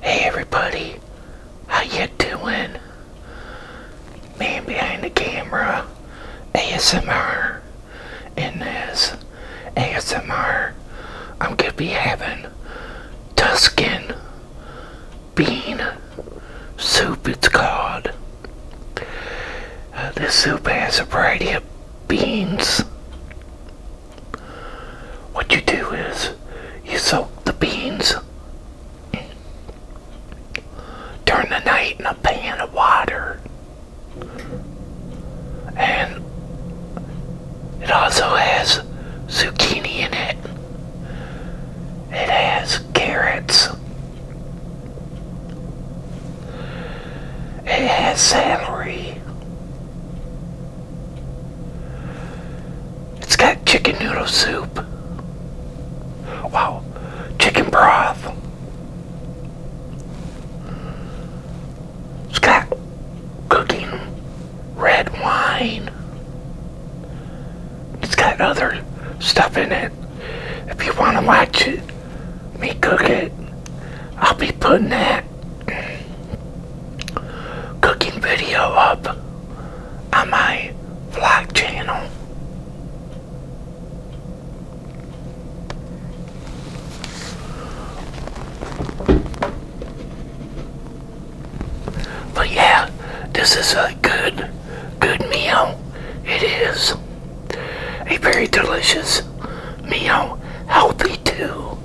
Hey everybody, how you doing? Man behind the camera, ASMR. In this ASMR, I'm gonna be having Tuscan bean soup. It's called. Uh, this soup has a variety of beans what you do is you soak the beans during the night in a pan of water, and it also has zucchini in it, it has carrots, it has celery. It's got chicken noodle soup. Wow, chicken broth. It's got cooking red wine. It's got other stuff in it. If you want to watch it, me cook it, I'll be putting that cooking video up uh, on my vlog channel. But yeah, this is a good, good meal. It is a very delicious meal, healthy too.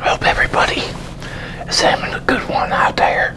Hope everybody is having a good one out there.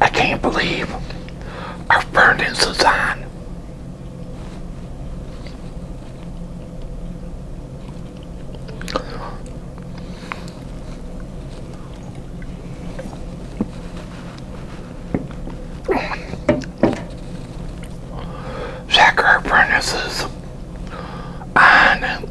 I can't believe our furnace is on. Check our furnaces on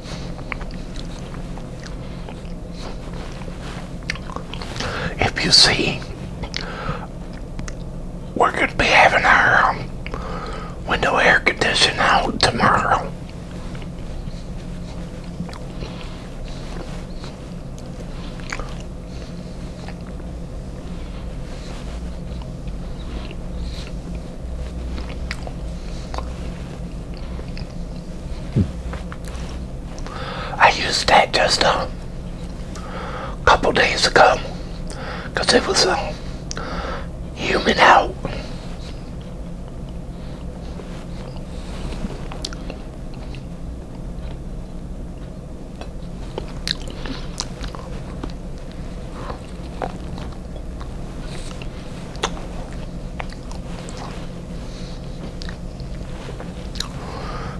If you see, we're going to be having our um, window air conditioning out tomorrow. I used that just a uh, couple days ago because it was a uh, human out.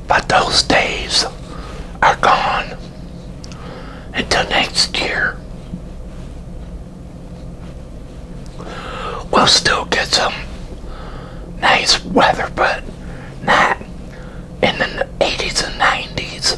But those days are gone until next year. We'll still get some nice weather, but not in the 80s and 90s.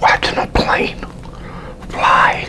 Watching a plane fly.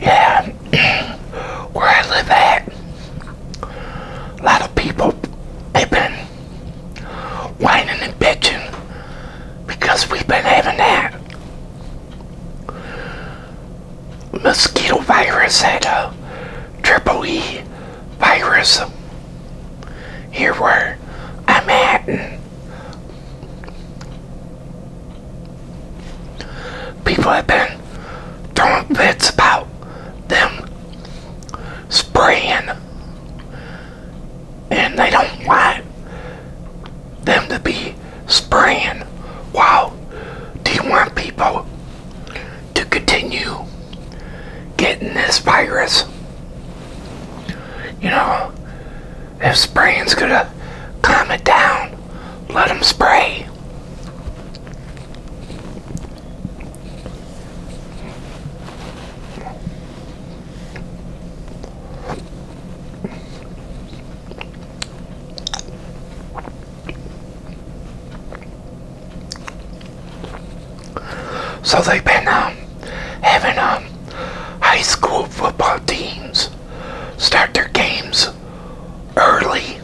Yeah, where I live at, a lot of people have been whining and bitching because we been having that mosquito virus and a uh, triple E virus here where I'm at. people have been throwing fits about them spraying and they don't want them to be spraying. Wow, do you want people to continue getting this virus. You know, if spraying's gonna calm it down, let them spray. So they've been um, having um, high school football teams start their games early,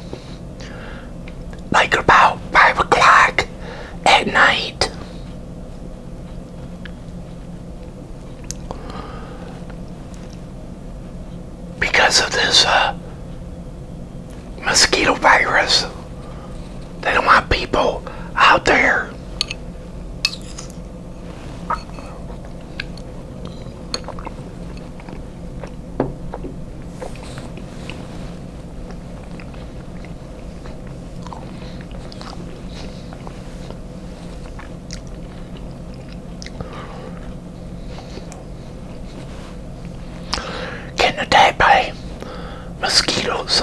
like about 5 o'clock at night. Because of this uh, mosquito virus. They don't want people out there can getting attacked by mosquitoes.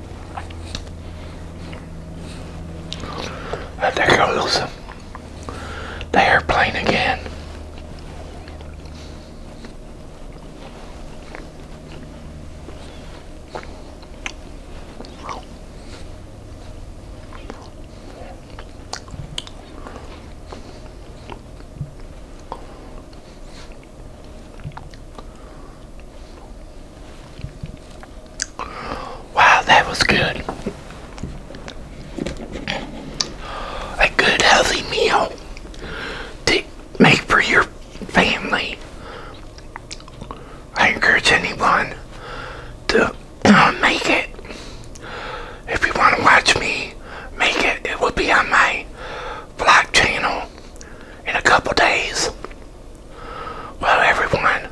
Uh, there goes the airplane again. Wow, that was good. A good healthy meal to make for your family. I encourage anyone to make it. If you want to watch me make it, it will be on my Black Channel in a couple days. Well, everyone,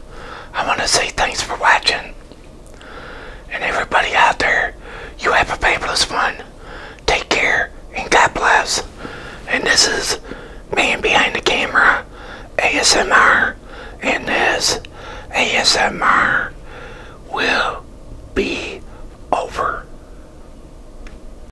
I want to say thanks for watching. And everybody out there, you have a fabulous one. Take care and God bless. And this is Man Behind the Camera ASMR. And this ASMR will be over.